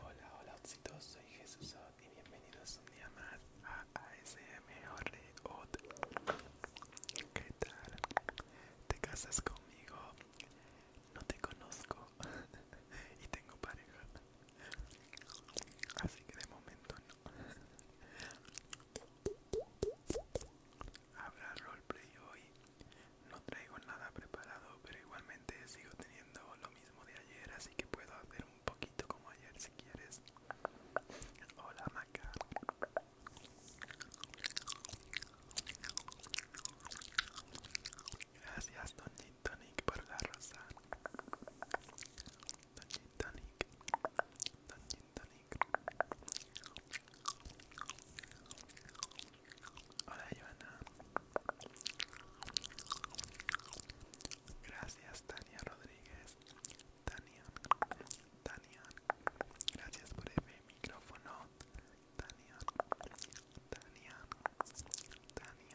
Hola, hola, Otsitos, soy Jesús Ots y bienvenidos un día más a ASMR ¿Qué tal? ¿Te casas conmigo? No te conozco y tengo pareja, así que de momento no. Habrá roleplay hoy no traigo nada preparado, pero igualmente sigo teniendo lo mismo de ayer, así que puedo hacer un poquito como ayer si quieres. Hola, Maca. Gracias, Don Gin Tonic, por la rosa. Don Gin Tonic. Don Gin Tonic. Hola Ivana. Gracias Tania Rodríguez. Tania. Tania. Gracias por el micrófono. Tania. Tania. Tania.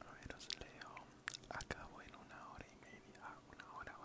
A leo. Acabo en una hora y media, una hora o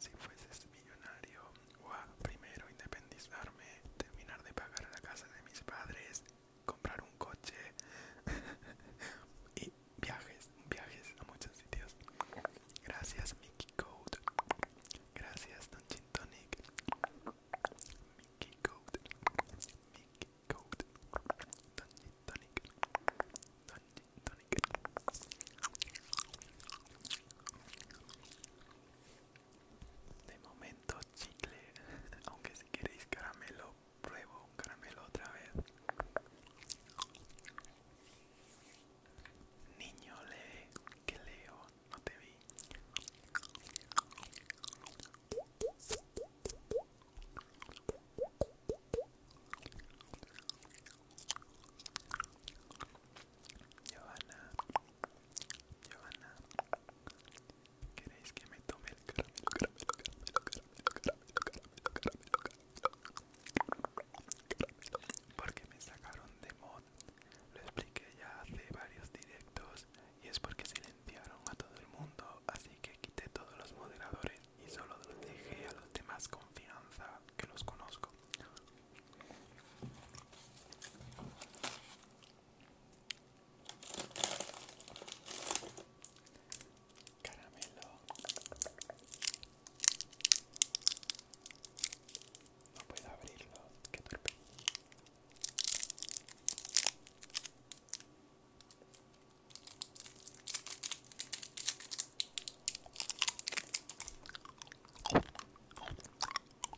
si fueses millonario o a primero independizarme, terminar de pagar la casa de mis padres, comprar un coche y viajes, viajes a muchos sitios. Gracias Mickey Code. Gracias Don Tonic. Mickey Code. Mickey Code. Don Tonic. Tonic de momento chicle aunque si queréis caramelo pruebo un caramelo otra vez niño le que leo no te vi Giovanna, ¿queréis que me tome el caramelo, caramelo, caramelo, Porque me sacaron de mod, lo expliqué ya hace varios directos y es porque silenciaron a todo el mundo, así que quité todos los moderadores y solo los dejé a los más confianza que los conozco. Caramelo. No puedo abrirlo, qué torpe.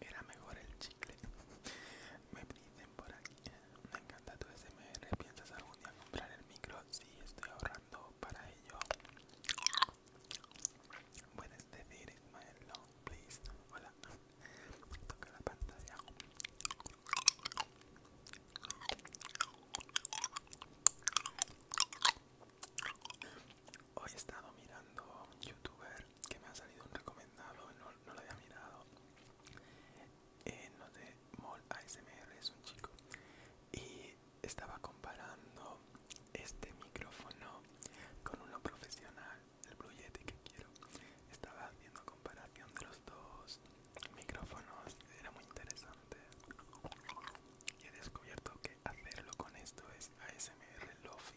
Era mejor el chicle. Me dicen por aquí. Me encanta tu SMR. ¿Piensas algún día comprar el micro? Si, estoy ahorrando para ello. Puedes decir Ismael, please. Hola, toca la pantalla. Hoy he estado mirando un youtuber que me ha salido un recomendado, no, no lo había mirado eh, no sé, Mol ASMR es un chico y estaba comparando este micrófono con uno profesional, el Blue Yeti que quiero. Estaba haciendo comparación de los dos micrófonos, era muy interesante. Y he descubierto que hacerlo con esto es ASMR Lofi.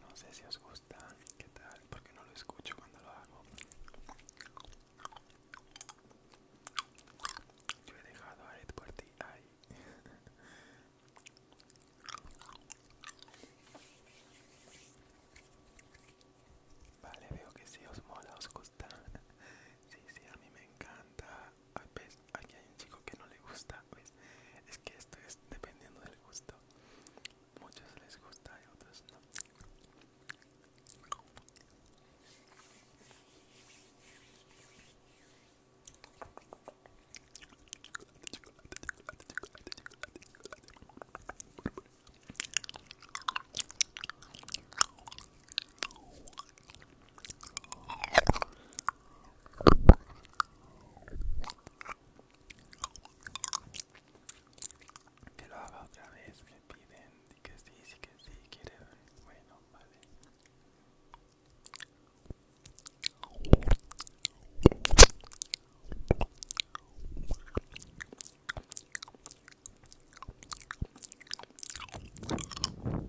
No sé si os gusta, ¿qué tal? Porque no lo escucho cuando lo hago. Yo he dejado a Ed por ti ahí. Vale, veo que sí os mola, os gusta. Sí, sí, a mí me encanta. Ah, pues, aquí hay un chico que no le gusta, pues Es que esto es dependiendo del gusto. Muchos les gusta y otros no. Que lo haga otra vez, me piden que sí, sí que sí, quiere bueno, vale.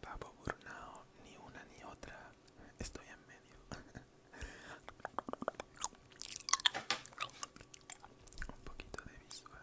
Papo Burnao, ni una ni otra. Estoy en medio. Un poquito de visual.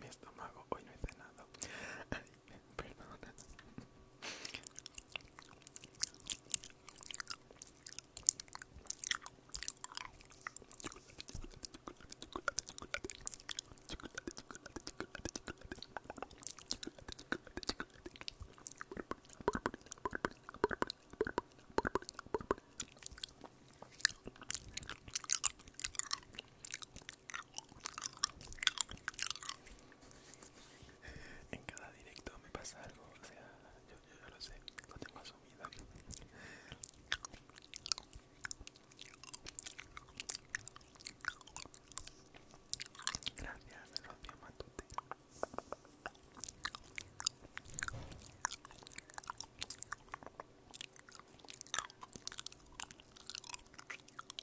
mi estómago, hoy no he cenado. perdón. En cada directo me pasa algo, o sea, yo, lo sé, lo tengo asumido. Gracias, gracias Matute.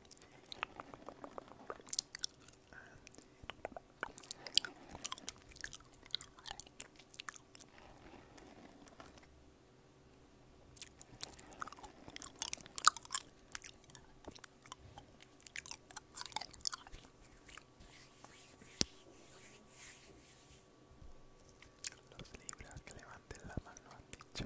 Los libros que levanten la mano han dicho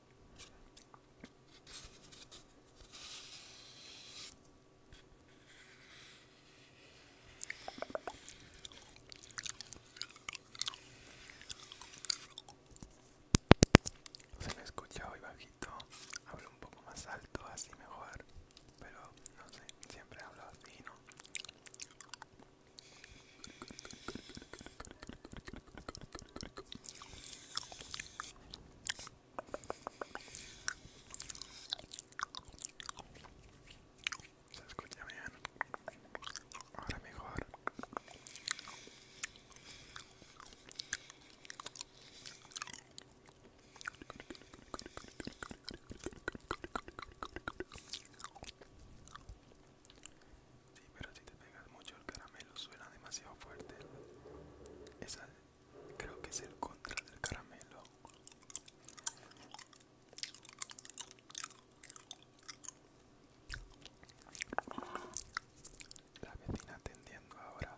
Se me escucha hoy bajito, hablo un poco más alto, así mejor, pero no sé, siempre hablo así, ¿no? Se escucha bien. Ahora mejor. Sí, pero si te pegas mucho el caramelo suena demasiado fuerte. Esa creo que es el contra del caramelo. La vecina atendiendo ahora.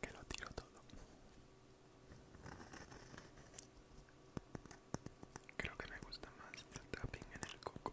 Que lo tiro todo. Creo que me gusta más el tapping en el coco.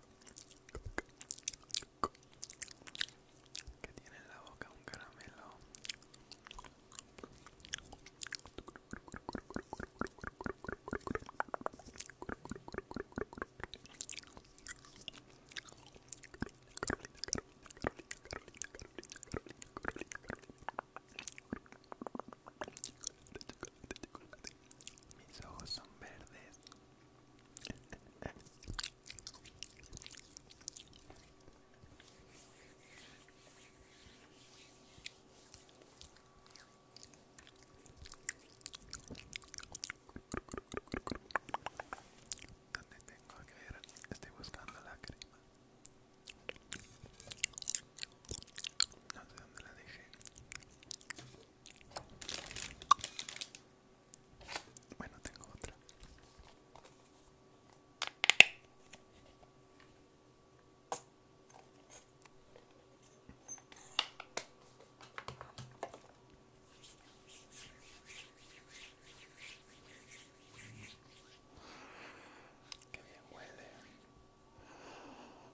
que tiene en la boca un caramelo mis ojos son verdes. ¿Dónde tengo que ver? Estoy buscando la crema. No sé dónde la dejé. Bueno, tengo otra. Que bien huele.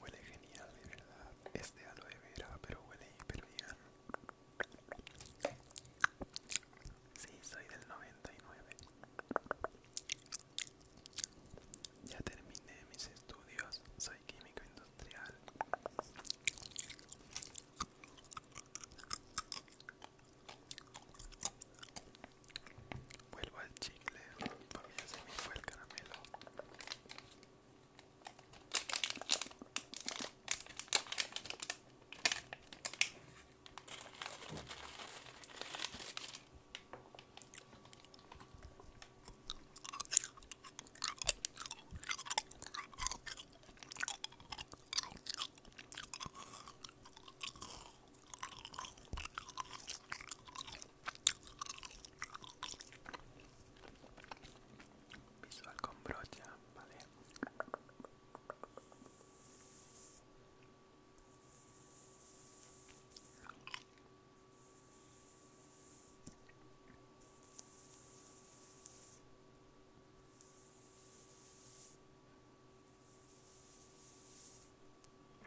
Huele genial, de verdad. este aloe vera, pero huele hiper Sí, soy del 99. Ya terminé mis estudios. Soy químico industrial. Vuelvo al chicle, para mí ya se me fue el caramelo. Visual con brocha, ah, vale.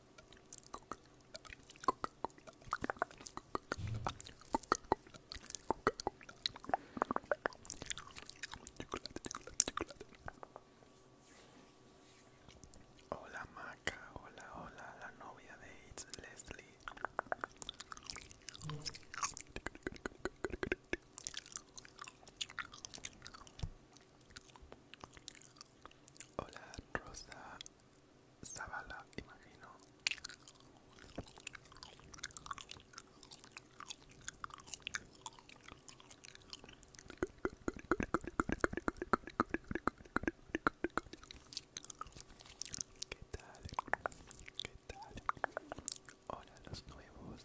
Hola Maca, hola, hola, la novia de It's Leslie. Hola Rosa Zavala, imagino. ¿Qué tal? ¿Qué tal? Hola los nuevos.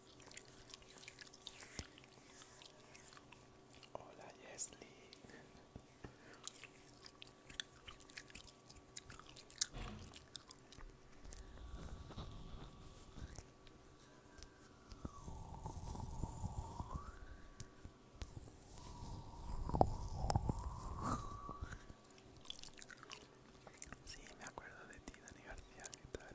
Hola, Jesley, Sí, me acuerdo de ti, Dani García, ¿qué tal?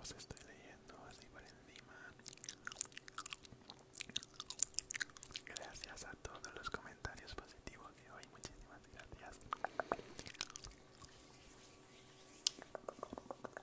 Os estoy leyendo así por encima. Gracias a todos los comentarios positivos que hoy. Muchísimas gracias.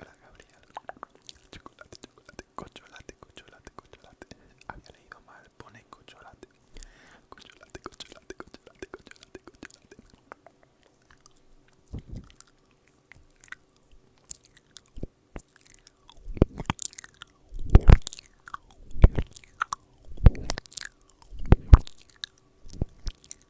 Hola Gabriel. Chocolate, chocolate, cocholate, cocholate, cocholate. Había ah, leído mal, pone cocholate. Cocholate, cocholate, cocholate, cocholate, cocholate.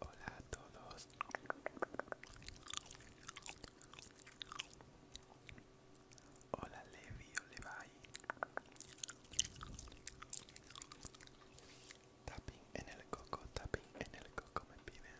Hola a todos. Hola Levi le Levi. Tapping en el coco, tapping en el coco me piden.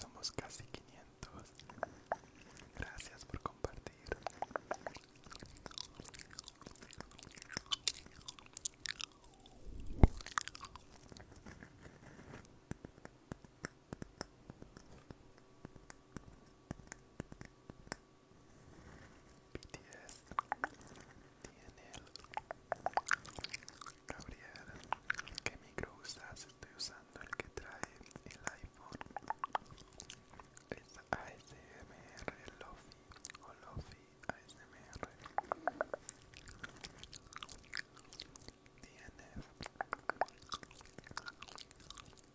Somos casi 500. Gracias por compartir. BTS, DNL, Gabriel, ¿qué micro usas? Estoy usando el que trae el iPhone. Es ASMR Lofi o Lofi ASMR. DNF,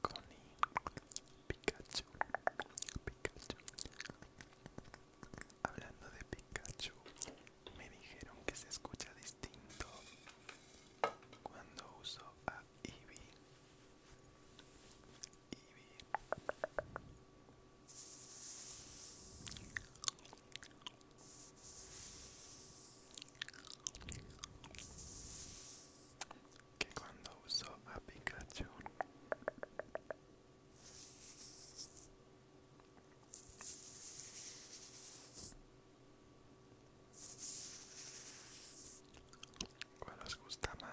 Connie, Pikachu, Pikachu. Hablando de Pikachu, me dijeron que se escucha distinto cuando uso a Eevee. Que cuando uso a Pikachu ¿Cuál os gusta más?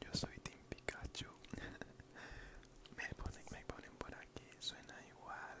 Yo soy tim Pikachu. me, ponen, me ponen por aquí, suena igual.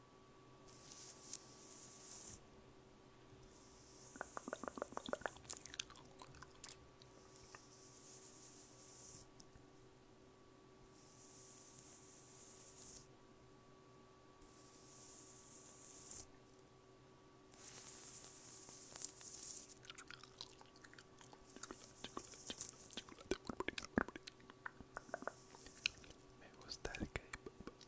Me gusta el K-pop.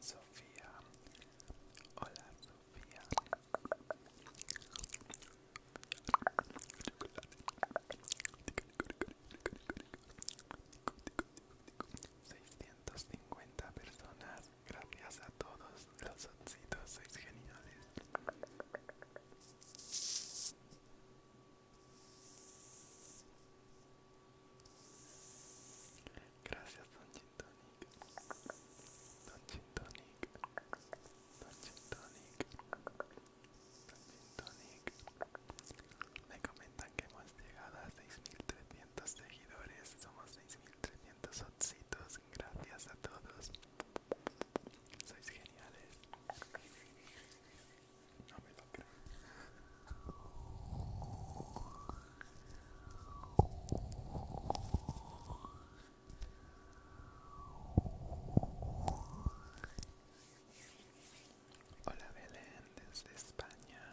Sofía. Hola, Sofía. 650 cincuenta personas Gracias a todos los soncitos, sois geniales. Gracias, Don Chintonic. Don Chintonic. Don Chintonic. Don Chintonic. Me comentan que hemos llegado a 6300 seguidores. Somos 6300 gracias a todos. Sois geniales. No me lo creo. Hola Belén desde España.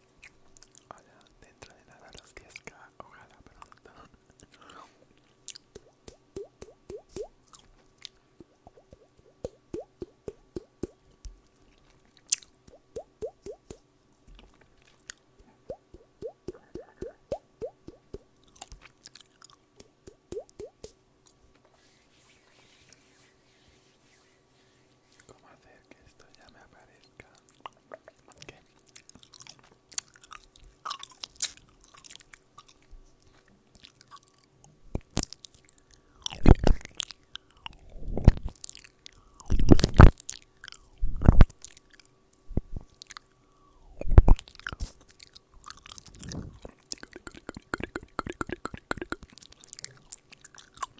Hola, dentro de nada los que ojalá pronto. ¿Cómo hacer que esto ya me aparezca? ¿Qué?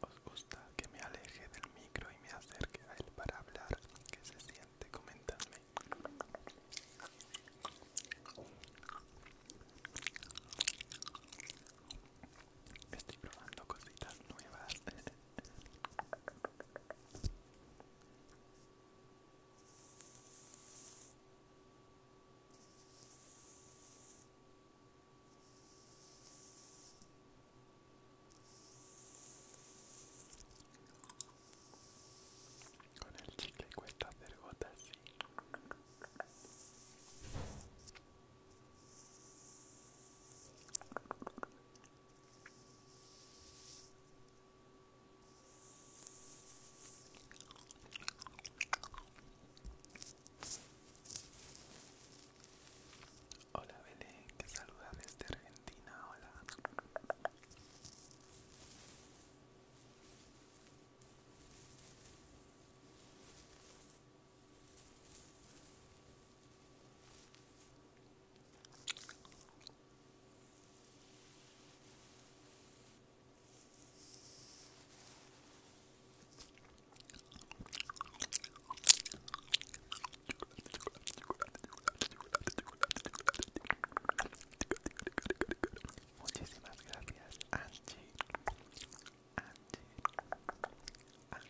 ¿Os gusta que me aleje del micro y me acerque a él para hablar? ¿Qué se siente? Comentadme. Estoy probando cositas nuevas. con il cicle questa vergota sì Hola Belén, que saluda desde Argentina, hola. Muchísimas gracias, Angie. Angie. Angie.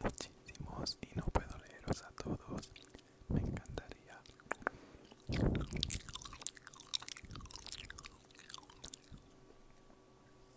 muchísimos y no puedo a todos. Me encantaría.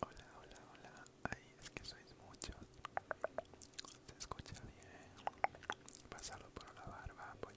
Hola, hola, hola. Ahí es que sois muchos. Se escucha bien. pasarlo por la barba, pues.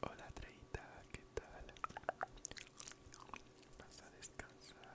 Hola Treita, ¿qué tal? Vas a descansar.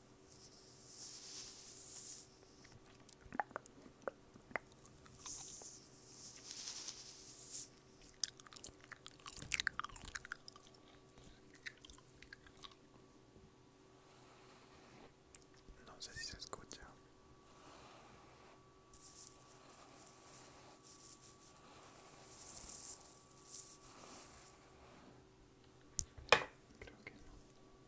No sé si se escucha. Creo que no.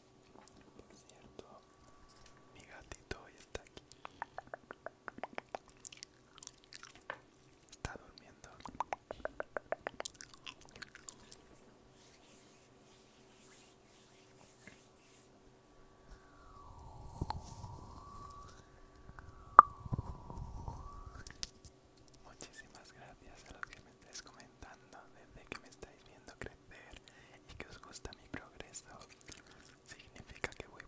Por cierto, mi gatito hoy está aquí. Está durmiendo. Muchísimas gracias a los que me estáis comentando desde que me estáis viendo, creo y que os gusta mi progreso. Significa que voy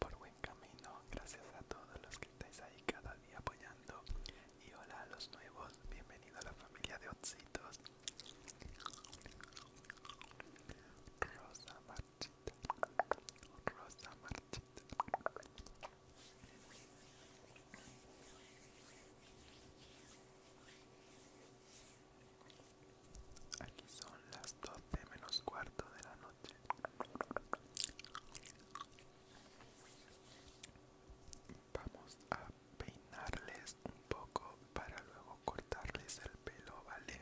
por buen camino. Gracias a todos los que estáis ahí cada día apoyando. Y hola a los nuevos. bienvenidos a la familia de Otsitos. Rosa marchita. Rosa marchita. Aquí son las 12 menos cuarto de la noche. Vamos a peinarles un poco para luego cortarles el pelo, ¿vale?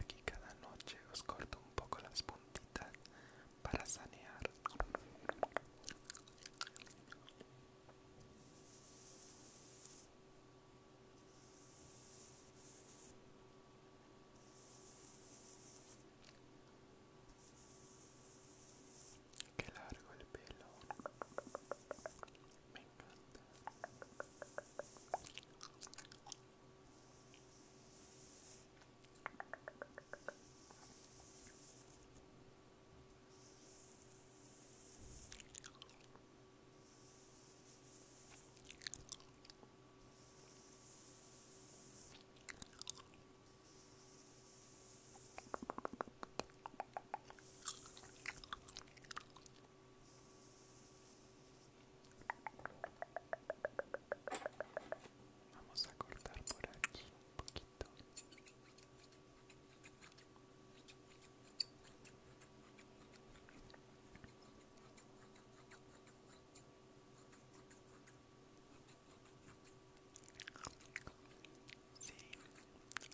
Aquí cada noche os corto un poco las puntitas para sanear. Qué largo el pelo. Me encanta. Muy Vamos a cortar por aquí un poquito. Sí,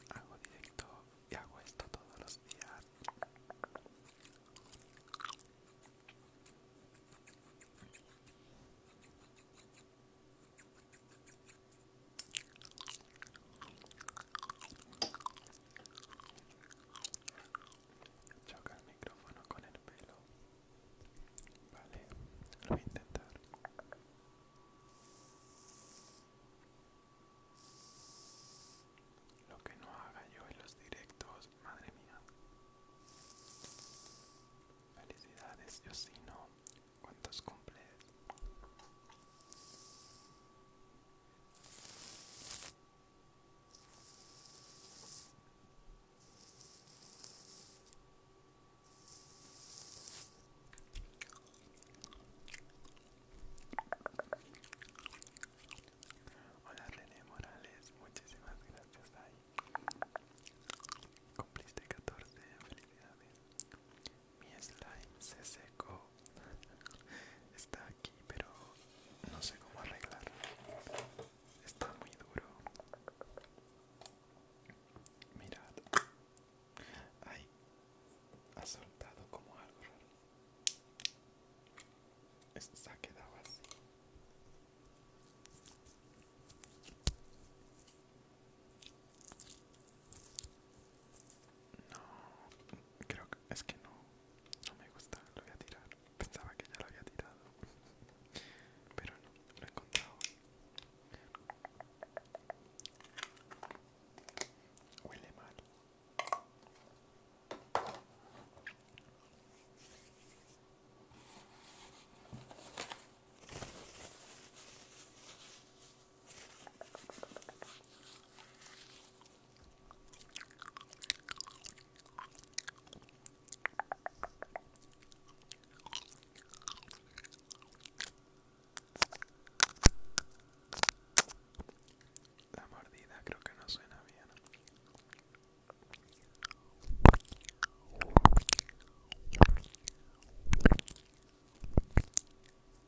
hago directo y hago esto todos los días. Choca el micrófono con el pelo. Vale, lo voy a intentar. Lo que no haga yo en los directos, madre mía. Felicidades, yo no ¿Cuántos cumple? Hola Lene Morales, muchísimas gracias. Cumpliste 14, felicidades mi slime se secó está aquí pero no sé cómo arreglarlo está muy duro mirad Ahí ha soltado como algo raro se ha quedado así no, creo que es que no, no me gusta, lo voy a tirar. Pensaba que ya lo había tirado, pero no, lo he encontrado. Huele mal. La mordida creo que no suena bien.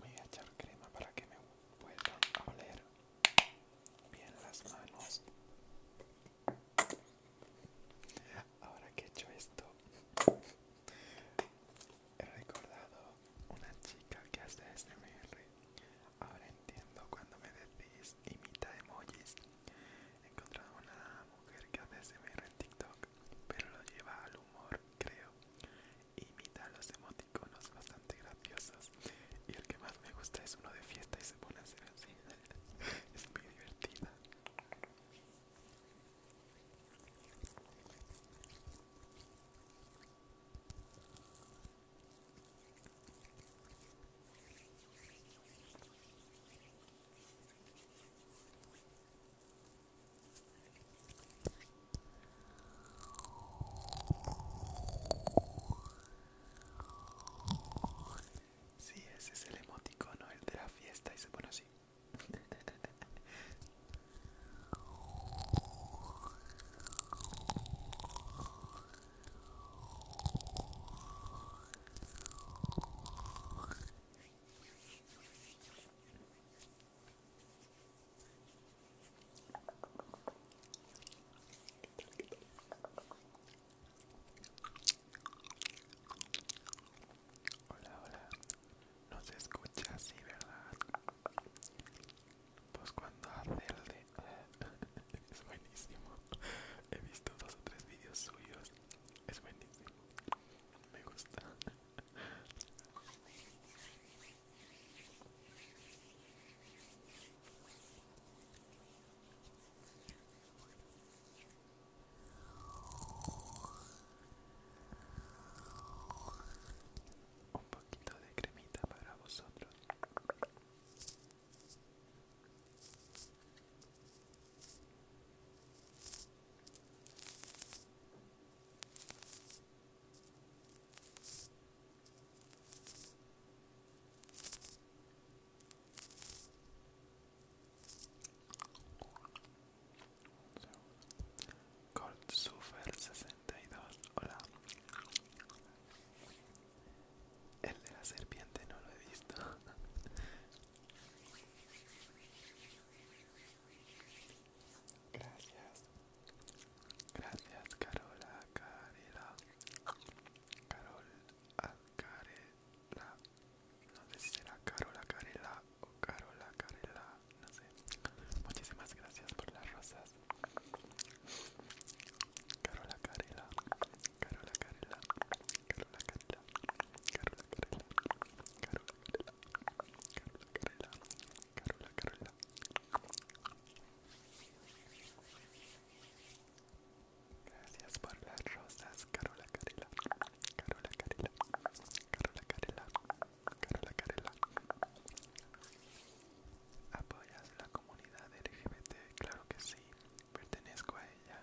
Voy a echar crema para que me puedan oler bien las manos. Ahora que he hecho esto, he recordado una chica que hace SMR. Ahora entiendo cuando me decís imita emojis. He encontrado una mujer que hace SMR en TikTok pero lo lleva al humor, creo. Imita los emoticonos bastante graciosos. Y el que más me gusta es uno de fiesta y se pone a hacer así. es muy divertida. Sí, ese es el emoticono, el de la fiesta y se pone así. Hola, hola. No se escucha así, ¿verdad? Pues cuando hace el de... es buenísimo. He visto dos o tres vídeos suyos. Es buenísimo me gusta. Un poquito de cremita para vosotros. Super 62, hola. El de la serpiente no lo he visto. Gracias. Gracias, Carola Carela. Carol Carela No sé si será Carola Carela o Carola Carela. No sé. Muchísimas gracias por las rosas. Carola Carela. Carola Carela. Carola Carela, Carola Carola Carola Carola Gracias por las rosas, Carola Carela, Carola Carola Carola ¿Apoyas la comunidad LGBT? Claro que sí, pertenezco a ella.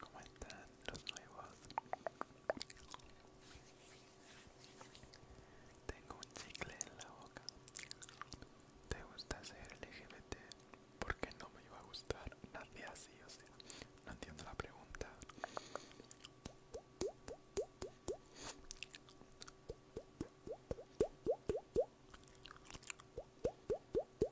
¿Cómo están los nuevos? Tengo un chicle en la boca. ¿Te gusta ser LGBT? ¿Por qué no me iba a gustar? Nadie así, o sea, no entiendo la pregunta.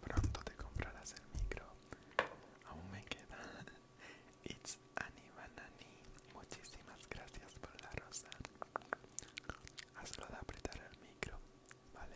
Pronto te comprarás el micro. Aún me queda. It's Ani Banani. Muchísimas gracias por la rosa. Hazlo de apretar el micro. Vale.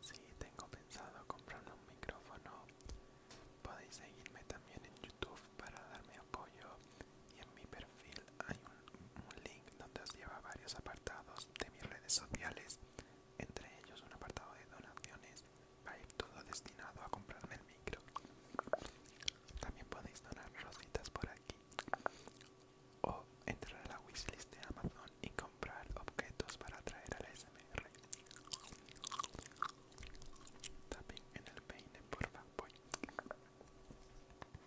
Sí, tengo pensado comprar un micrófono. Podéis seguirme también en YouTube para darme apoyo y en mi perfil hay un, link donde os lleva a varios apartados de mis redes sociales, entre ellos un apartado de donaciones, va a ir todo destinado a comprarme el micro. También podéis donar rositas por aquí o entrar a la wishlist de Amazon y comprar objetos para atraer al la SMR. también en el peine, por favor Sí,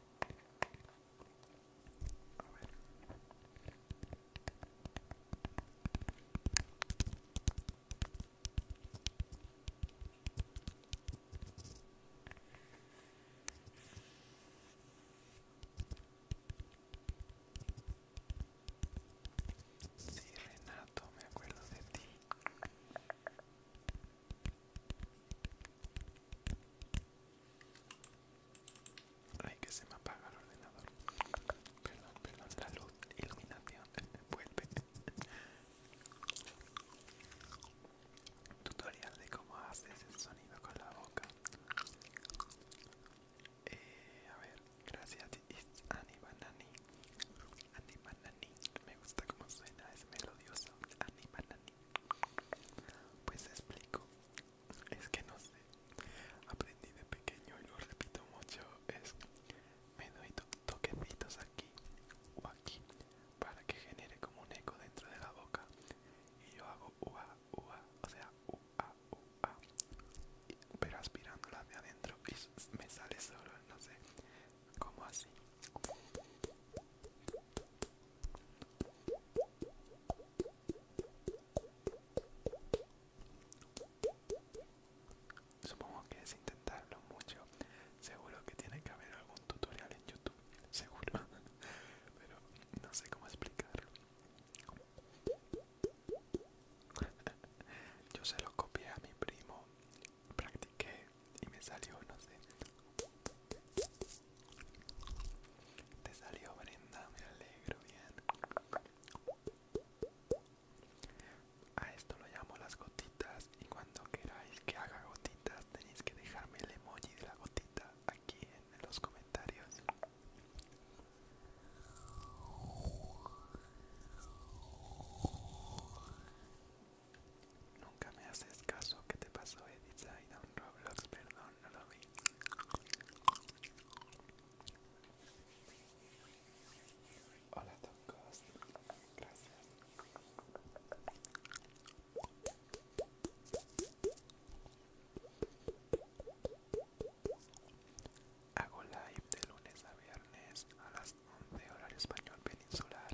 Renato, me acuerdo de ti. Ay, que se me apaga el ordenador. Perdón, perdón, la luz, iluminación, vuelve. Tutorial de cómo haces el sonido con la boca. Eh, a ver, gracias It's Ani Banani. Ani Banani. Me gusta cómo suena, es melodioso. Ani Banani. Pues explico, es que no sé, aprendí de pequeño y lo repito mucho, es me doy toquecitos aquí o aquí para que genere como un eco dentro de la boca y yo hago ua ua, o sea ua ua, pero aspirándola de adentro y me sale solo, no sé, como así. Supongo que es intentarlo mucho. Seguro que tiene que haber algún tutorial en YouTube. Seguro. Pero no sé cómo explicarlo. Yo se lo copié a mi primo. Practiqué y me salió, no sé. Te salió Brenda, me alegro, bien. A esto lo llamo las gotitas y cuando queráis que haga gotitas tenéis que dejarme el emoji de la gotita aquí en los comentarios. Nunca me haces caso, ¿qué te pasó, Edith? y un Roblox, perdón, no lo vi. Hola, Tocos, gracias. Hago live de lunes a viernes a las 11 horario español peninsular.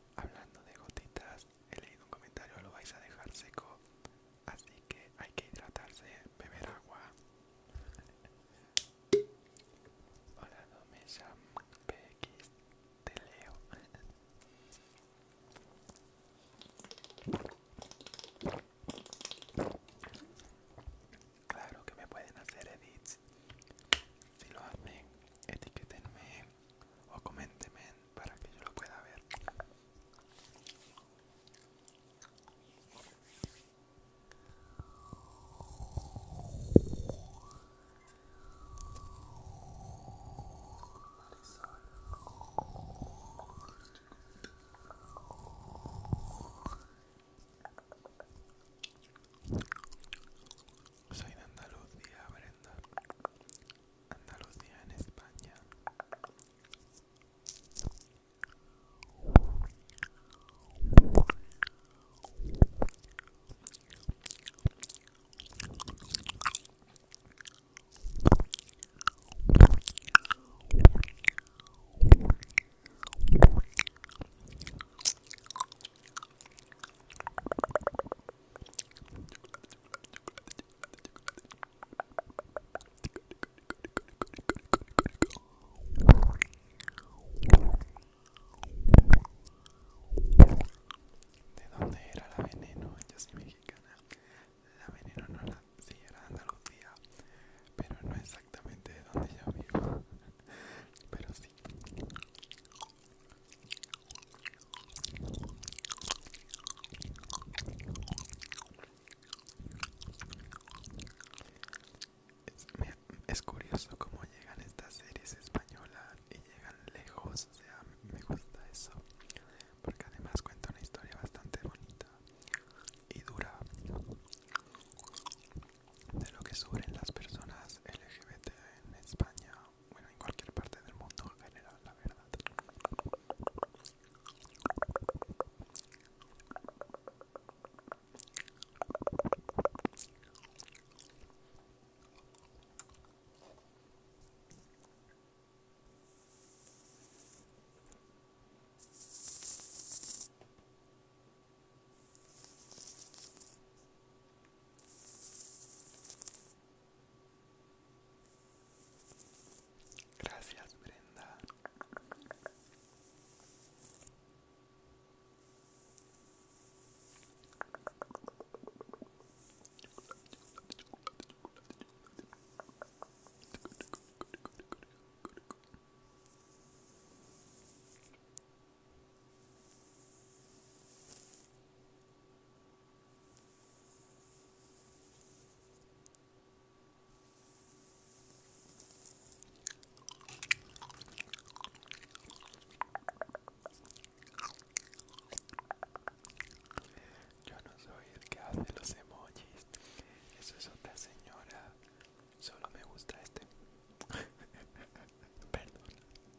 Hablando de gotitas, he leído un comentario, lo vais a dejar seco, así que hay que hidratarse, beber agua. Hola, no me llamo PX, te leo. Claro que me pueden hacer edits si lo hacen, etiquetenme o coméntenme para que yo lo pueda ver. Soy de Andalucía, Brenda. Andalucía en España. ¿De dónde era la veneno? Yo soy mexicana. La veneno no la... Sí, era de Andalucía. Pero no exactamente de donde yo vivo. Pero sí. Es, curioso cómo llegan estas series españolas y llegan lejos, o sea, me gusta eso, porque además cuenta una historia bastante bonita y dura de lo que sufren las personas LGBT en España bueno, en cualquier parte del mundo en general, la verdad. Gracias, Brenda. Yo no soy el que hace los emojis. Eso es otra señora. Solo me gusta este. Perdón.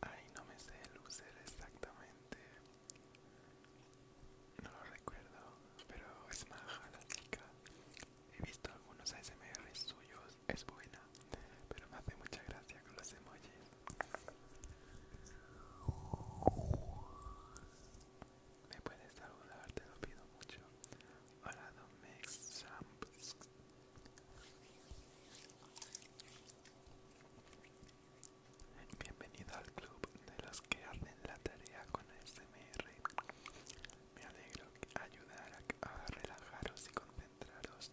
Ay, no me sé el user exactamente. No lo recuerdo, pero es maja la chica. He visto algunos ASMR suyos, es buena, pero me hace mucha gracia con los emojis me puedes saludar, te lo pido mucho. Hola, Domex Bienvenido al club de los que hacen la tarea con ASMR. Me alegro ayudar a relajaros y concentraros.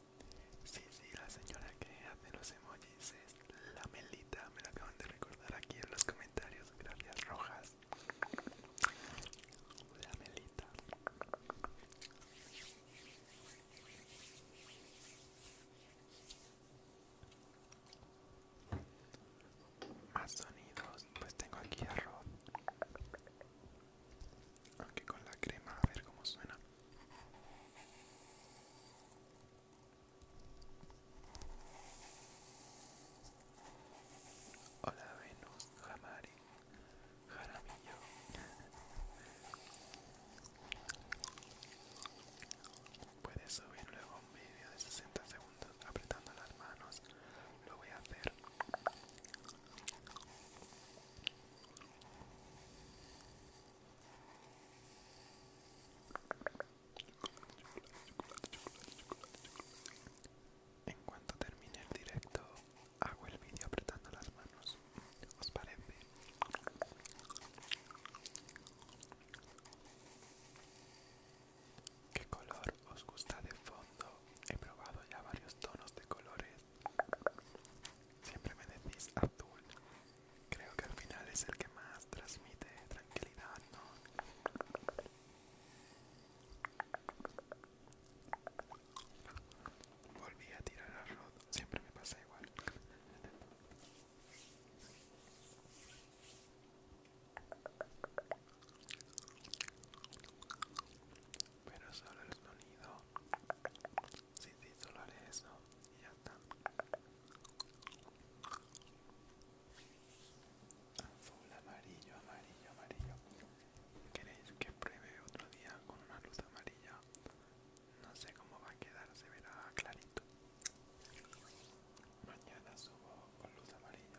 Sí, sí, la señora que hace los emojis es la Melita, me lo acaban de recordar aquí en los comentarios, gracias Rojas. La Melita. Más sonidos, pues tengo aquí arroz aunque con la crema a ver cómo suena hola Venus Jamari Jaramillo Puedes subir luego un vídeo de 60 segundos apretando las manos. Lo voy a hacer. En cuanto termine el directo, hago el vídeo apretando las manos. ¿Os parece? ¿Qué color os gusta de fondo? He probado ya varios tonos de colores Siempre me decís Abdul. Creo que al final es el que más transmite tranquilidad, ¿no? Volví a tirar arroz. Siempre me pasa igual. Pero solo el sonido solo haré eso Y ya está. Azul, amarillo, amarillo, amarillo. ¿Queréis que pruebe otro día con una luz amarilla? No sé cómo va a quedar, se verá clarito. Mañana subo con luz amarilla.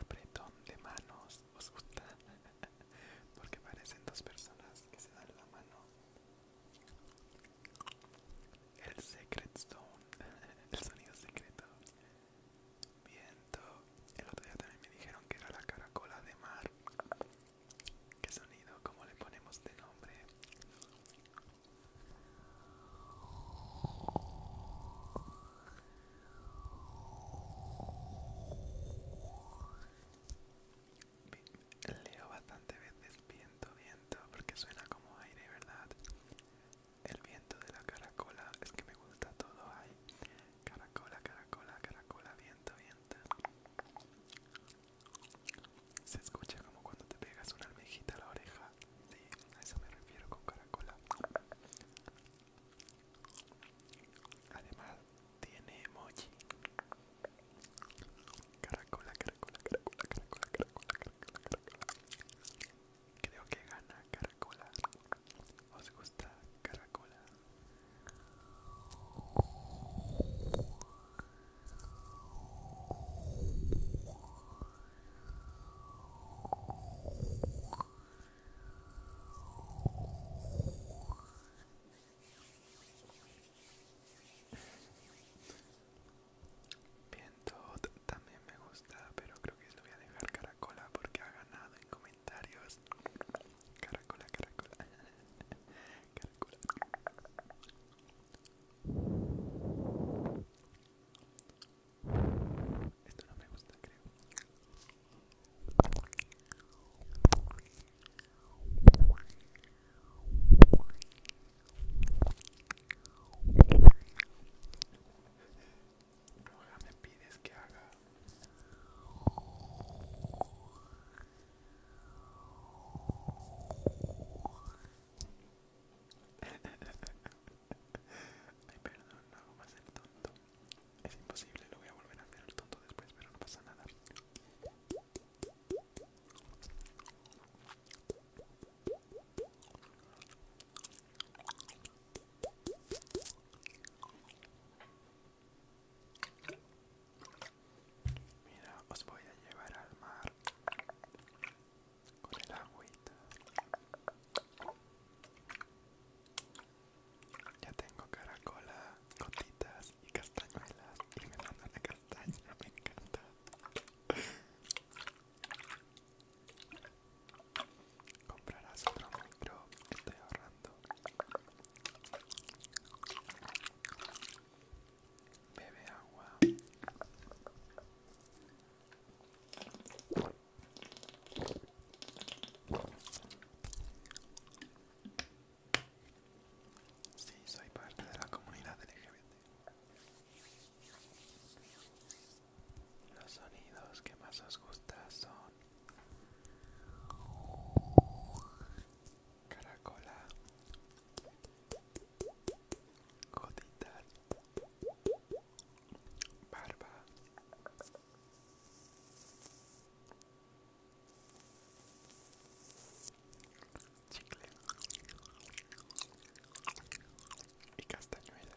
Apretón de manos, ¿os gusta? Porque parecen dos personas que se dan la mano. El Secret Stone, el sonido secreto. Viento. El otro día también me dijeron que era la caracola de mar. ¿Qué sonido? ¿Cómo le ponemos de nombre? Leo bastante veces viento, viento, porque suena como aire, ¿verdad? El viento de la caracola, es que me gusta todo ahí. Caracola, caracola, caracola, viento. Se escucha como cuando te pegas una almejita a la oreja. Sí, a eso me refiero con caracola. Además, tiene emoji. caracola, caracola, caracola, caracola, caracola, caracola. Creo que gana caracola. ¿Os gusta caracola? Viento también me gusta, pero creo que se lo voy a dejar caracola porque ha ganado en comida. Caracola, caracola. Caracola. Esto no me gusta, creo. me pides que haga Ay, perdón, no hago más el tonto. Es imposible, lo voy a volver a hacer el tonto después, pero no pasa nada. Mira, os voy a llevar al mar con el agüita. Ya tengo caracola, gotitas y castañuelas y me mandan la castaña, me encanta. Comprarás otro micro, estoy ahorrando. Bebe agua. Sí, soy parte de la comunidad LGBT. Los sonidos que más os gusta son caracola, gotitas, barba. Chicle y castañuela.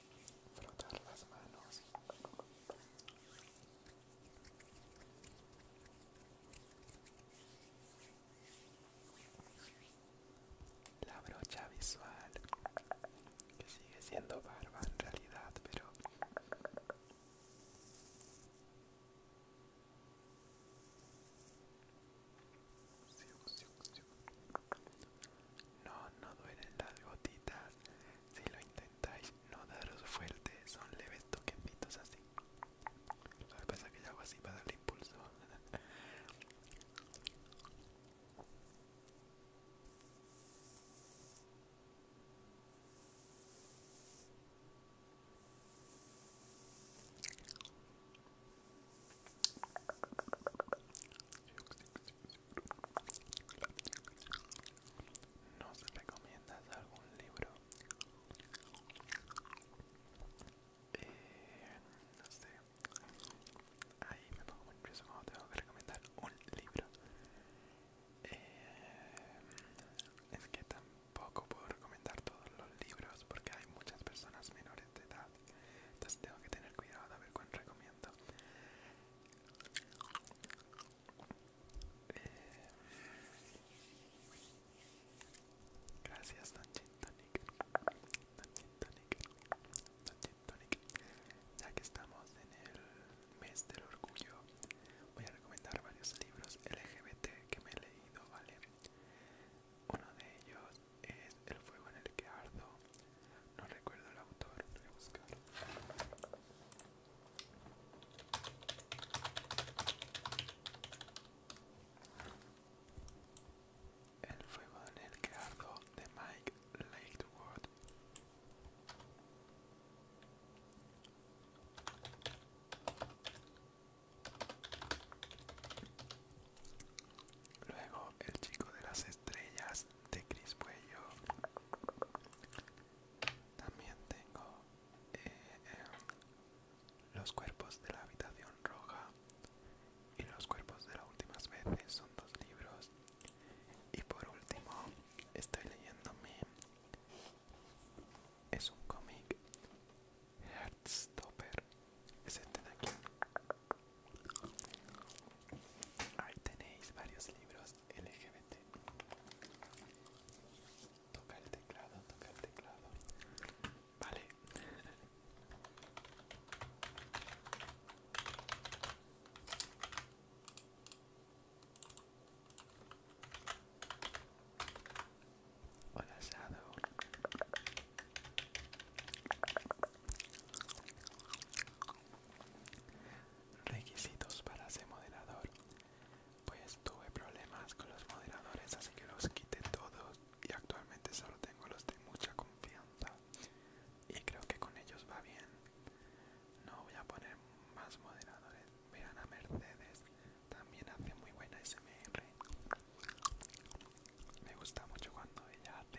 frotar las manos la brocha visual que sigue siendo barba en realidad pero no, no duelen las gotitas. Si lo intentáis, no daros fuerte. Son leves toquecitos así. Lo que pasa que yo hago así para darle impulso. No se recomiendas algún libro? Eh, no sé. Ahí me pongo muy preso tengo que recomendar un libro. Eh, es que tampoco puedo recomendar todos los libros porque hay muchas personas menores de edad. Entonces tengo que tener cuidado a ver cuál recomiendo. Eh, gracias Don Chitonic Ya que estamos en el mes del orgullo, voy a recomendar varios libros LGBT que me he leído, ¿vale? Uno de ellos es El fuego en el que ardo no recuerdo el autor, voy a El fuego en el que ardo de Mike Lakewood. Luego el chico de las estrellas de Cris Puello. También tengo eh, Los cuerpos de la habitación roja y Los cuerpos de las últimas veces. Son dos libros. Y por último, estoy leyéndome. Es un cómic. Heartstopper. Es este de aquí. Ahí tenéis varios libros LGBT. Toca el teclado, toca el teclado. Vale. Hola Shadow. Requisitos para ser moderador. Pues tuve problemas con los moderadores, así que los quité todos y actualmente solo tengo los de mucha confianza. Y creo que con ellos va bien. No voy a poner más moderadores. Vean a Mercedes. También hace muy buena SMR. Me gusta mucho cuando ella hace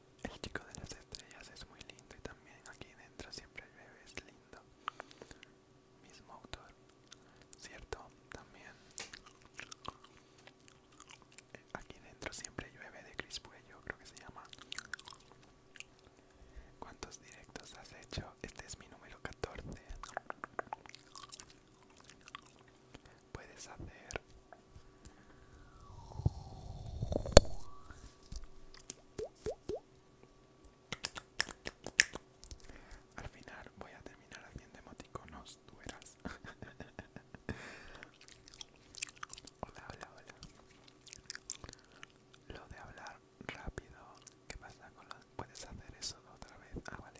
El chico de las estrellas es muy lindo y también aquí dentro siempre llueve, es lindo. Mismo autor, ¿cierto? También. Aquí dentro siempre llueve de crispuello, creo que se llama. ¿Cuántos directos has hecho? Este es mi número 14. Puedes hacer al final voy a terminar haciendo emoticonos eras hola, hola, hola. Lo de hablar rápido. ¿Qué pasa con la? ¿Puedes hacer eso otra vez? Ah, vale.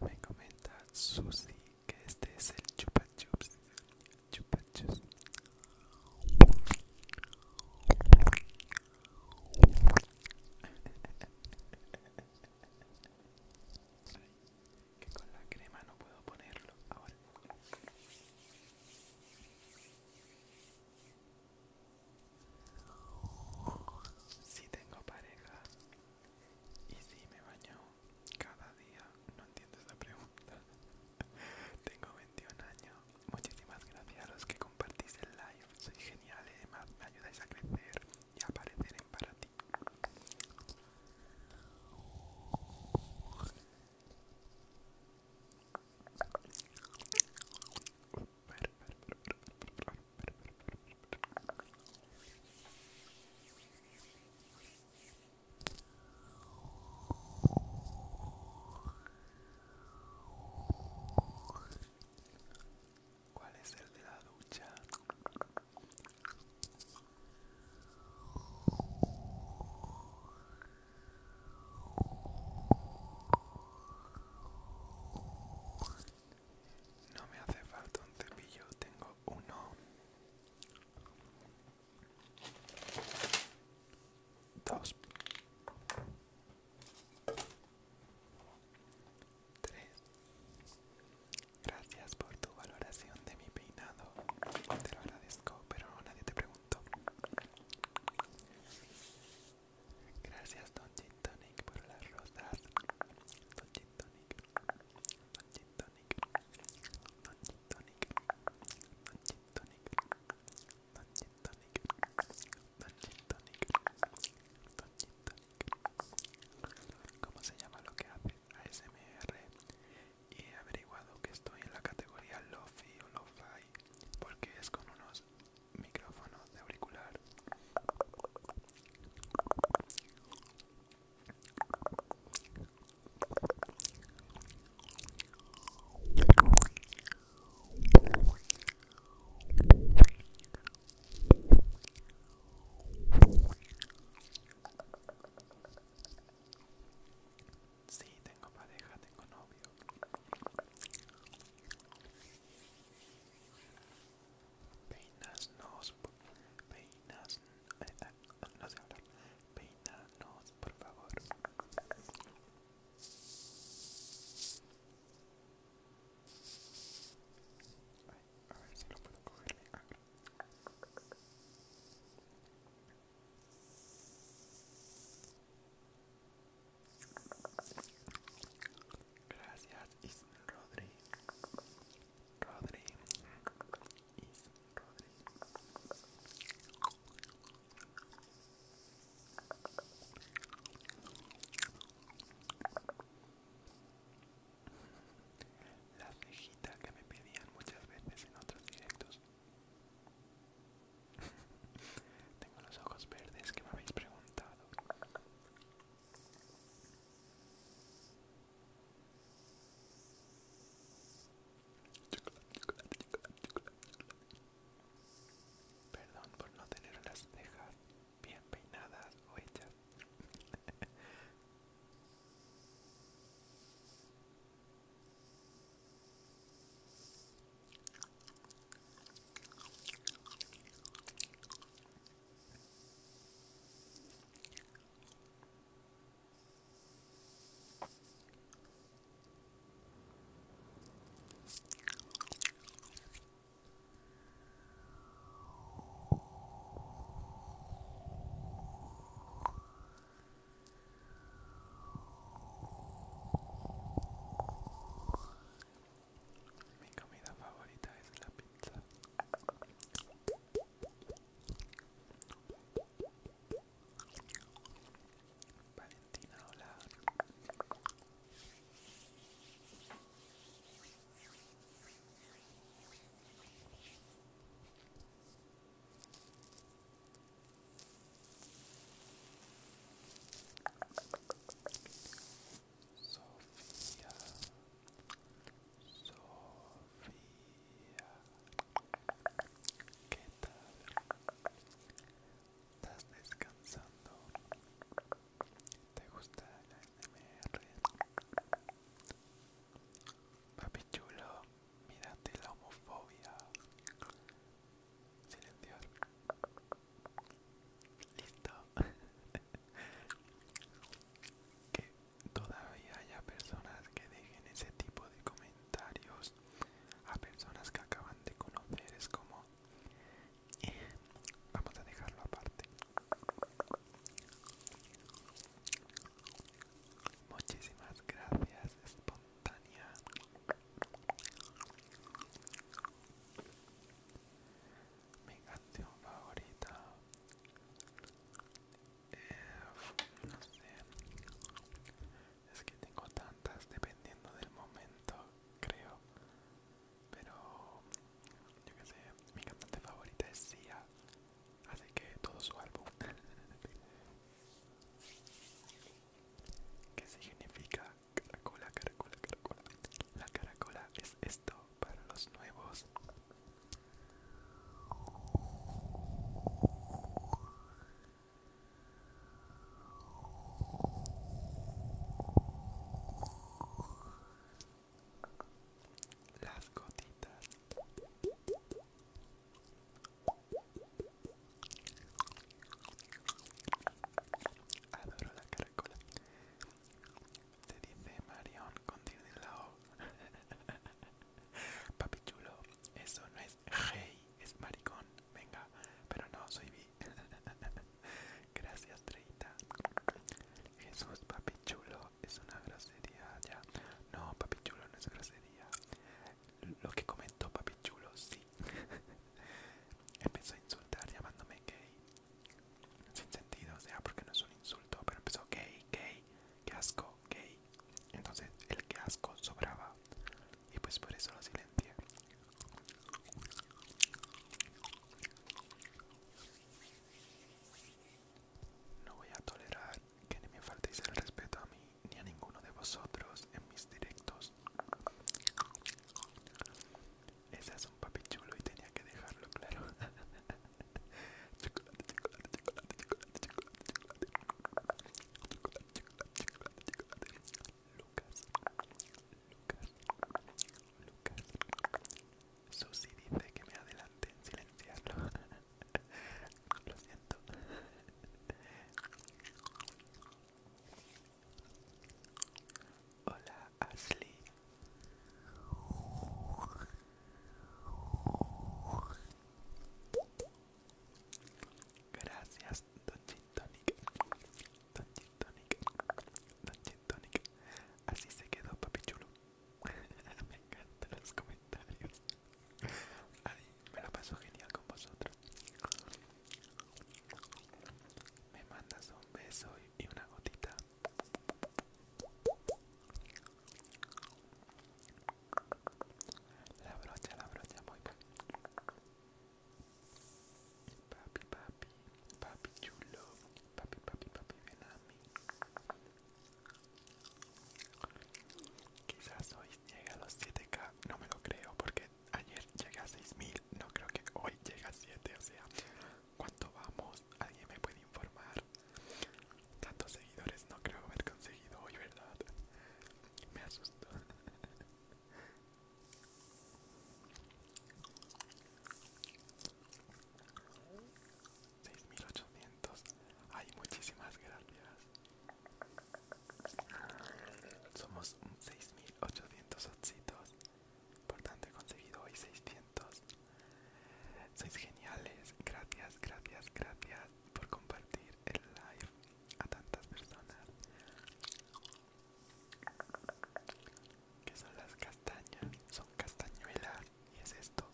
Me comenta Susi que este es el chupa chupachos. Que con la crema no puedo ponerlo ahora. Si tengo pareja y si me baño cada día, no entiendo esa pregunta. tengo 21 años Muchísimas gracias a los que compartís el live. Sois geniales, además me ayudáis a crecer y a aparecer en para ti. ¿Cuál es el de la ducha? No me hace falta un cepillo, tengo uno dos, tres. Gracias por tu valoración de mi peinado. Te lo agradezco, pero nadie te preguntó. Gracias, Don Gin Tonic, por las rosas. Don Tonic, Don Tonic, Don Tonic, Don Tonic, ¿Cómo se llama lo que hace? ASMR. Y he averiguado que estoy en la categoría Lofi o Lo-Fi porque es con unos micrófonos de auricular. Sí, tengo pareja, tengo novio. peinas, nos, peinas, no sé hablar. nos, por favor. Ay, a ver si lo puedo coger Gracias, Rodri. Rodri. Rodri. La cejita que me pedían muchas veces en otros directos. Tengo los ojos verdes que me habéis preguntado. Perdón por no tener las cejas bien peinadas o hechas. Mi comida favorita es la pizza. Valentina, hola. Sofía, Sofía, ¿qué tal? estás descansando te gusta la NMR? papi chulo mírate la homofobia Silencio listo que todavía haya personas que dejen ese tipo de comentarios a personas que acaban de conocer es como eh, vamos a dejarlo aparte muchísimas gracias espontánea mi canción favorita eh, no sé es que tengo tantas dependiendo del momento, creo. Pero, yo que sé, mi cantante favorita es Sia. Así que todo su álbum. ¿Qué significa caracola, caracola, caracola? La caracola es esto para los nuevos. Las gotitas. Adoro la caracola. Te dice Marion, Con la O. Papi chulo, eso no es Hey, es maricón. Venga, pero no, soy vi. Gracias, Treita. Jesús, papi chulo, es una grosería ya. No, papi chulo no es grosería. Lo que comentó papi chulo, sí. empezó a insultar llamándome gay. Sin sentido, o sea, porque no es un insulto, pero empezó gay, gay, que asco, gay. Entonces el qué asco sobraba y pues por eso lo silencié. No voy a tolerar que ni me faltéis el respeto a mí ni a ninguno de vosotros en mis directos. Ese es un papi chulo y tenía que dejarlo claro. chocolate, chocolate, chocolate, chocolate, chocolate, chocolate, chocolate, chocolate, chocolate, chocolate. Lucas, Lucas, Lucas. Susi dice que me adelante en silenciarlo. Lo siento. Hola, Ashley. Gracias, Don Don Don así se quedó papi chulo. me encantan los comentarios. me lo paso genial con vosotros. Me mandas un beso y una gotita. La brocha, la brocha, muy bien. Papi, papi, papi chulo. Papi, papi, papi, ven a mí. Quizás hoy llegue a los 7K, no me lo creo, porque ayer llegué a 6000, no creo que hoy llegue a 7, o sea, ¿cuánto vamos? ¿Alguien me puede informar? Tantos seguidores no creo haber conseguido hoy, ¿verdad? Me asustó. 6800. Hay muchísimas gracias. Somos 6800 ositos. he conseguido hoy 600. Sois geniales. Gracias, gracias, gracias por compartir el live a tantas personas. ¿Qué son las castañas? Son castañuelas y es esto.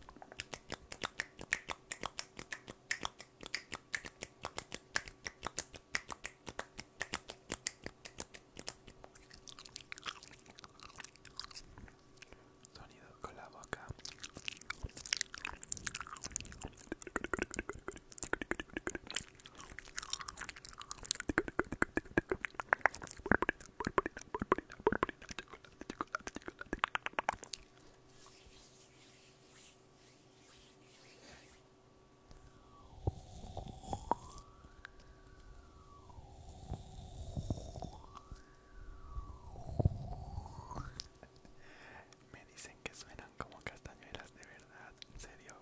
Sonido con la boca. Me dicen que suenan como castañuelas de verdad, en serio.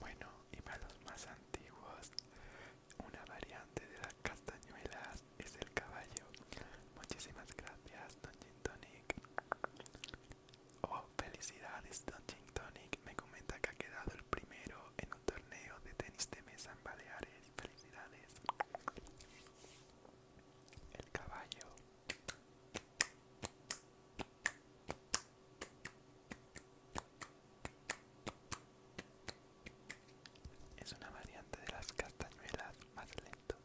Bueno, y para los más antiguos, una variante de las castañuelas es el caballo. Muchísimas gracias, Don Gin Tonic. Oh, felicidades, Don Gin Me comenta que ha quedado el primero en un torneo de tenis de mesa en Baleares. Felicidades el caballo es una variante de las castañuelas más lento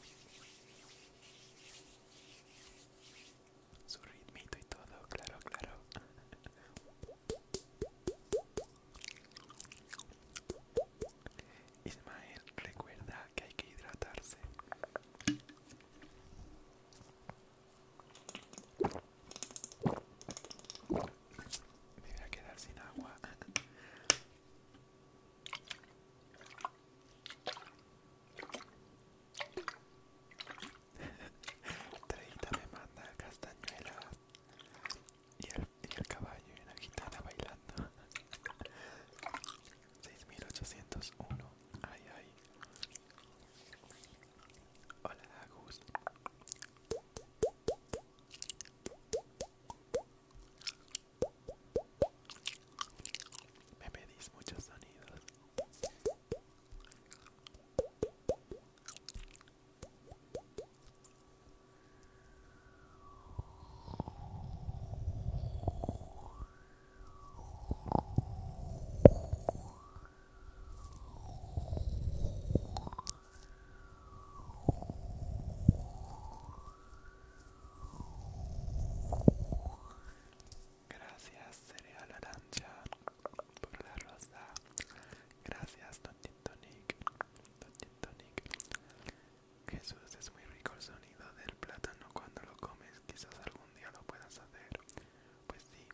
su ritmito y todo claro claro Ismael, recuerda que hay que hidratarse. Me voy a quedar sin agua. 30 me manda castañuelas y el, el caballo en la gitana bailando 6801 ay ay hola Agus me pedís muchos sonidos Gracias, Cereal Arancha, por la rosa. Gracias, Don Tonic, Tonic. Jesús, es muy rico el sonido del plátano cuando lo comes. Quizás algún día lo puedas hacer. Pues sí.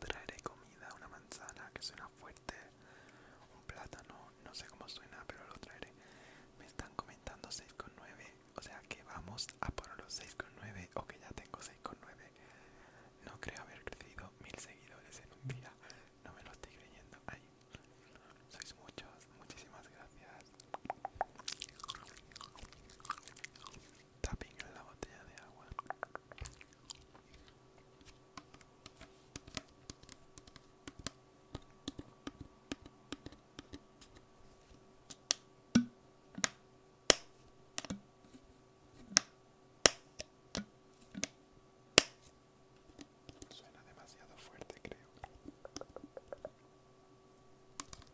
Traeré comida, una manzana que suena fuerte. Un plátano, no sé cómo suena, pero lo traeré. Me están comentando 6,9. O sea que vamos a por los 6,9 o que ya tengo 6,9. No creo haber crecido mil seguidores en un día no me lo estoy creyendo. sois muchos, muchísimas gracias. Tapping en la botella de agua. Suena demasiado fuerte, creo.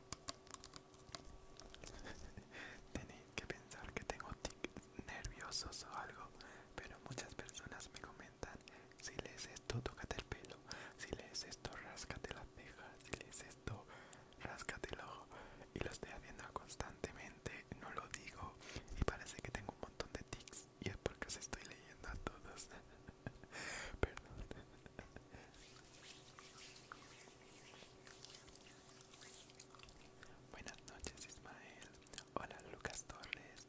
Tenéis que pensar que tengo tics nerviosos o algo, pero muchas personas me comentan, si lees esto, tócate el pelo, si lees esto, ráscate las cejas, si lees esto, ráscate el ojo. Y lo estoy haciendo constantemente, no lo digo, y parece que tengo un montón de tics y es porque os estoy leyendo a todos. Perdón. Buenas noches Ismael. Hola Lucas Torres.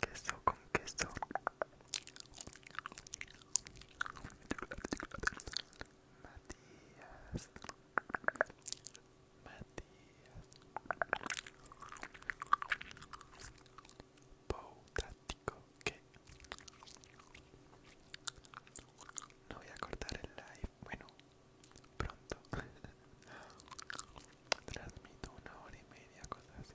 Queso con queso. Matías Matías Poutático que no voy a cortar el live bueno pronto transmito una hora y media cosas así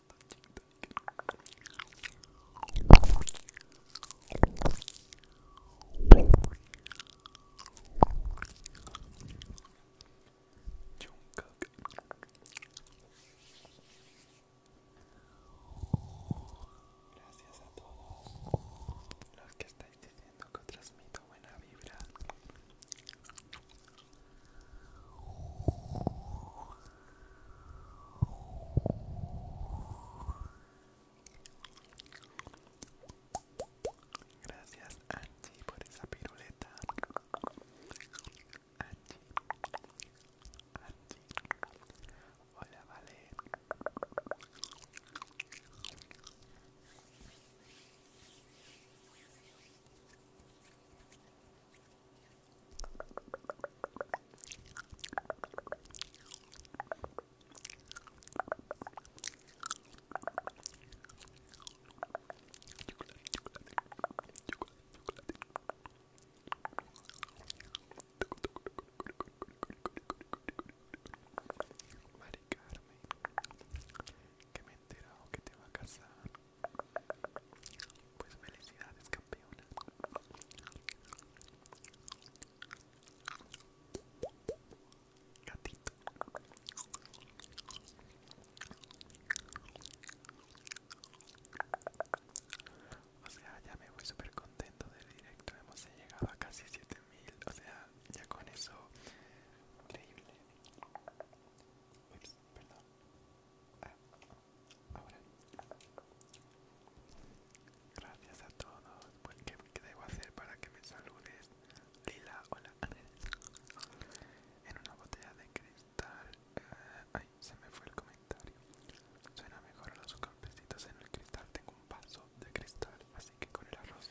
Gracias a todos los que estáis diciendo que transmito buena vibra. Gracias Angie por esa piruleta. Angie. Angie. Hola, vale. Mari Carmen, que me he enterado oh, que te va a casar. Pues felicidades, campeona. Gatito. O sea, ya me voy súper contento del directo. Hemos llegado a casi 7000. O sea, ya con eso. Increíble. perdón. Ah. Ahora. Gracias a todos. Pues, ¿qué, debo hacer para que me saludes? Lila, hola. En una botella de cristal. Eh, ay, se me fue el comentario. Suena mejor los golpecitos en el cristal. Tengo un vaso de cristal, así que con el arroz.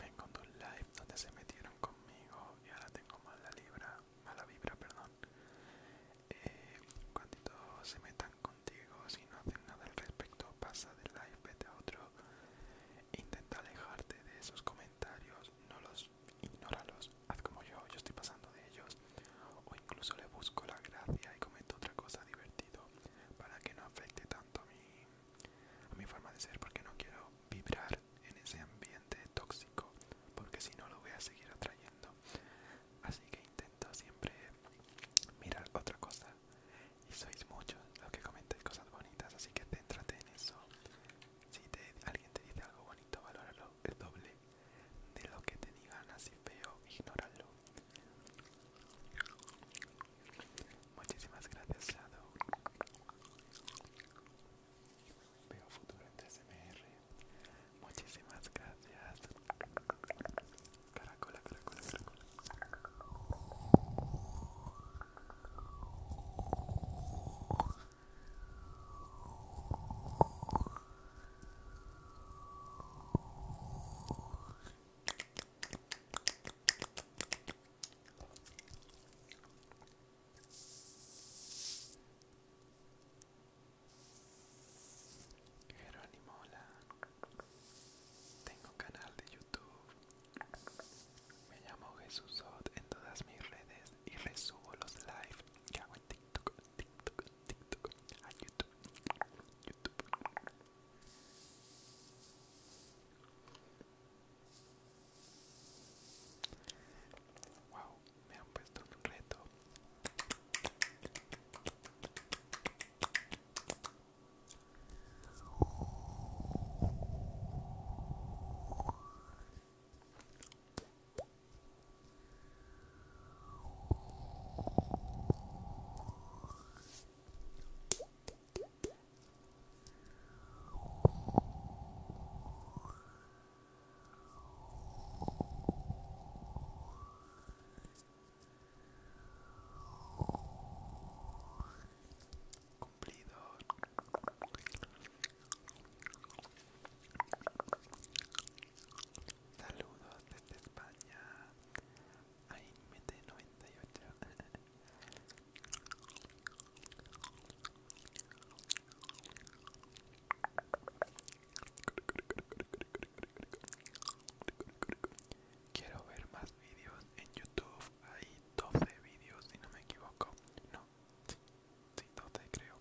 Vengo de un live donde se metieron conmigo y ahora tengo mala vibra, mala vibra, perdón. Eh, cuando se metan contigo, si no hacen nada al respecto, pasa del live, vete a otro. Intenta alejarte de esos comentarios, no los ignóralos, haz como yo, yo estoy pasando de ellos. O incluso le busco la gracia y comento otra cosa divertido para que no afecte tanto mi a mi forma de ser porque no quiero vibrar en ese ambiente tóxico porque si no lo voy a seguir atrayendo así que intento siempre mirar otra cosa y sois muchos los que comentáis cosas bonitas así que céntrate en eso si alguien te dice algo bonito valóralo el doble de lo que te digan así feo ignóralo Muchísimas gracias, Shadow. Veo futuro en TSMR. Muchísimas gracias. Caracola, caracola, caracola. Jerónimo, Mola Tengo canal de YouTube. Me llamo Jesusot en todas mis redes y resubo los live ya hago en TikTok, TikTok, TikTok a YouTube. YouTube. Wow, me han puesto un reto. Cumplido. Saludos desde España. Ay, mete 98. Quiero ver más vídeos en YouTube. Hay 12 vídeos, si no me equivoco. No, sí, 12 creo.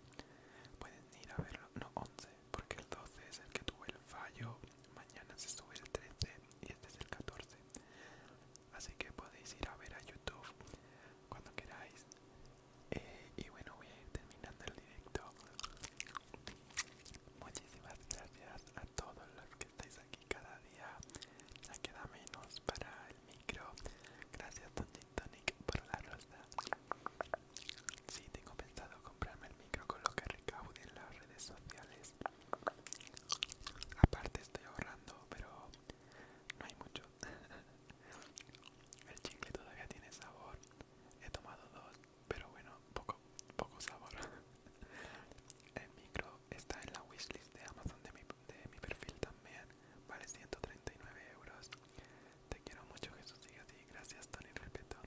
Pueden ir a verlo. No, 11, porque el 12 es el que tuvo el fallo. Mañana se sube el 13 y este es el 14 así que podéis ir a ver a YouTube cuando queráis. Eh, y bueno, voy a ir terminando el directo. Muchísimas gracias a todos los que estáis aquí cada día. Ya queda menos para el micro. Gracias, Tony Tonic, por la rosa. Sí, tengo pensado comprarme el micro con lo que recaude en las redes sociales. Aparte, estoy ahorrando, pero no hay mucho. El chicle todavía tiene sabor. He tomado dos, pero bueno, poco, poco sabor. El micro está en la wishlist de Amazon de mi, perfil también. Vale 139 euros. Te quiero mucho, Jesús. a ti. Gracias, Tony. Respeto.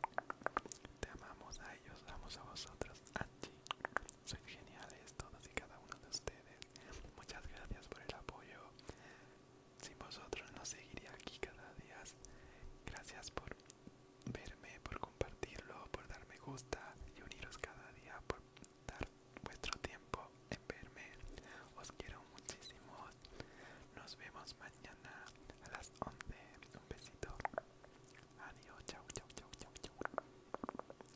Te amamos a ellos, amos a vosotros. A sois geniales todos y cada uno de ustedes. Muchas gracias por el apoyo. Sin vosotros no seguiría aquí cada día. Gracias por verme, por compartirlo, por dar me gusta y uniros cada día, por dar vuestro tiempo en verme. Os quiero muchísimo. Nos vemos mañana a las 11. Un besito. Adiós. chao, chao, chao, chao.